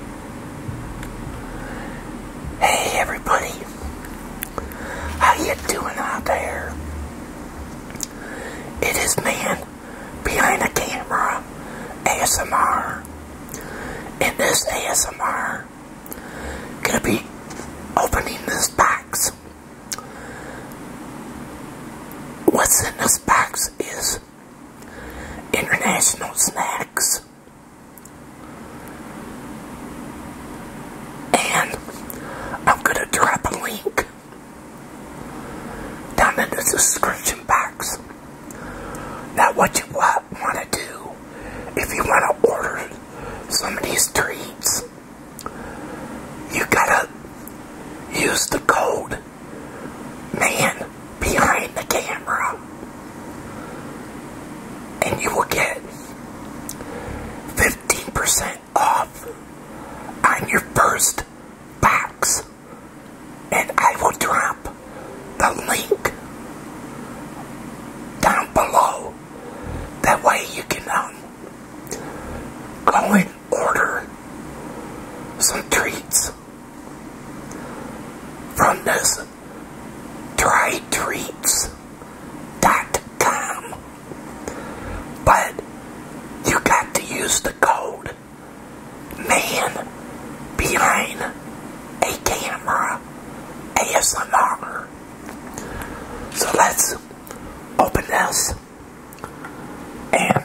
Hey everybody, how you doing out there? It is man behind the camera ASMR. And this ASMR, gonna be opening this box. What's in this box is international snacks. And I'm going to drop a link down in the description box. Now what you want, want to do, if you want to order some of these treats, you gotta use the code man behind the camera. And you will get 15% off on your first box. And I will drop the link down below. That way you can um, go and order some treats from this trytreats.com. But you got to use the code MAN behind a camera ASMR. So let's open this and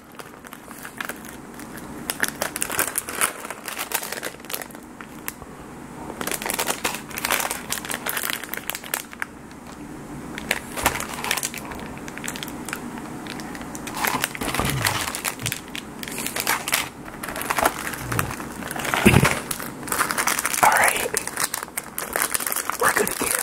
All right, we're gonna give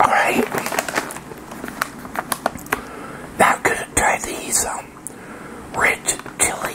All right. Now I'm gonna try these um rich chili.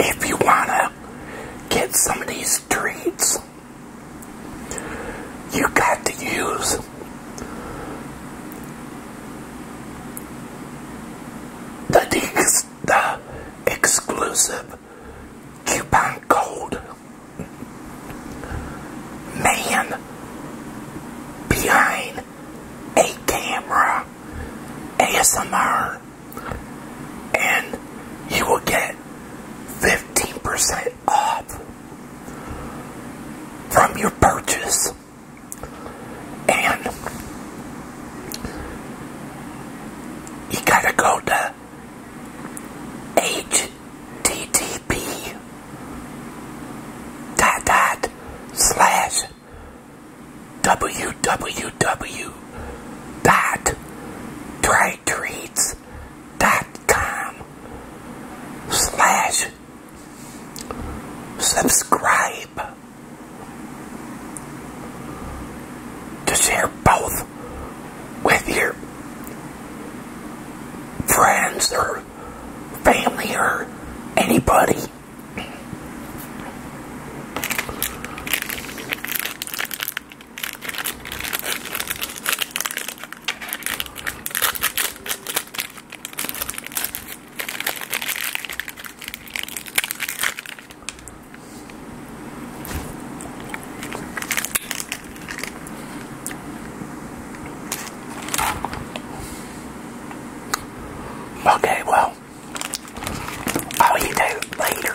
If you want to get some of these treats, you got to use the, the exclusive coupon code. Man behind a camera ASMR and you will get 15% off from your purchase and you gotta go to http http dot dot slash www dot dot com slash subscribe to share both with your friends or family or anybody. Okay, well, all you do later.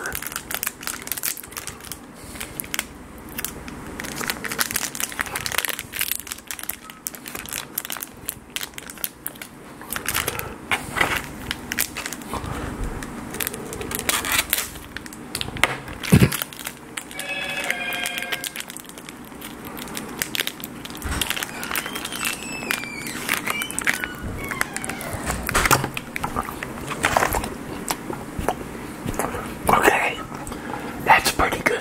Okay, that's pretty good.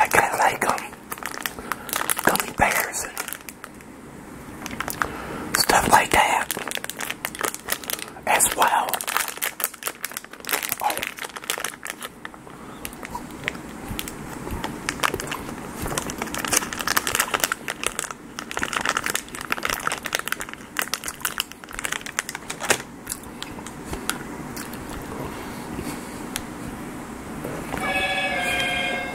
I kind of like them um, gummy bears. Stuff like that as well. Oh.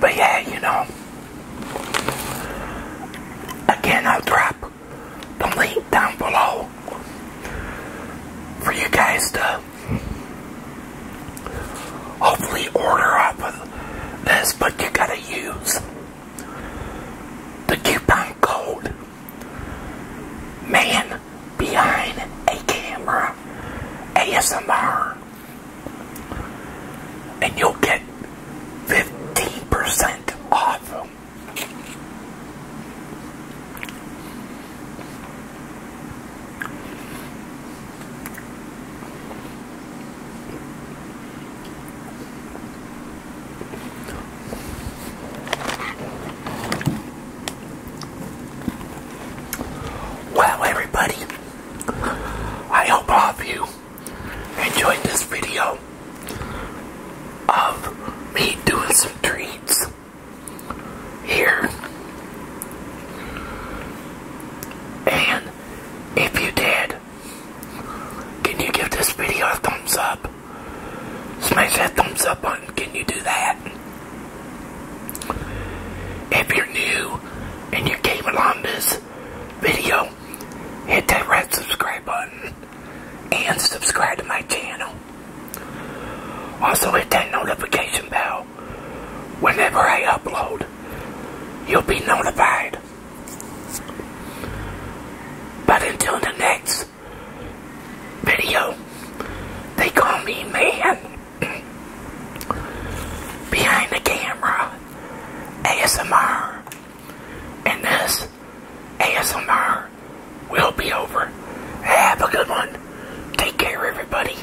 But yeah, you know, again, I'll drop the link down below for you guys to hopefully order off this, but you gotta use the coupon code Man Behind a Camera ASMR and you'll get 15% off. Well, everybody, I hope all of you enjoyed this video of me doing some treats here. And if you did, can you give this video a thumbs up? Smash that thumbs up button. Can you do that? If you're new and you came along this video, hit that red subscribe button and subscribe to my channel. Also hit that notification bell whenever I upload. You'll be notified. But until the next video, they call me man behind the camera ASMR. And this ASMR will be over. Have a good one. Take care, everybody.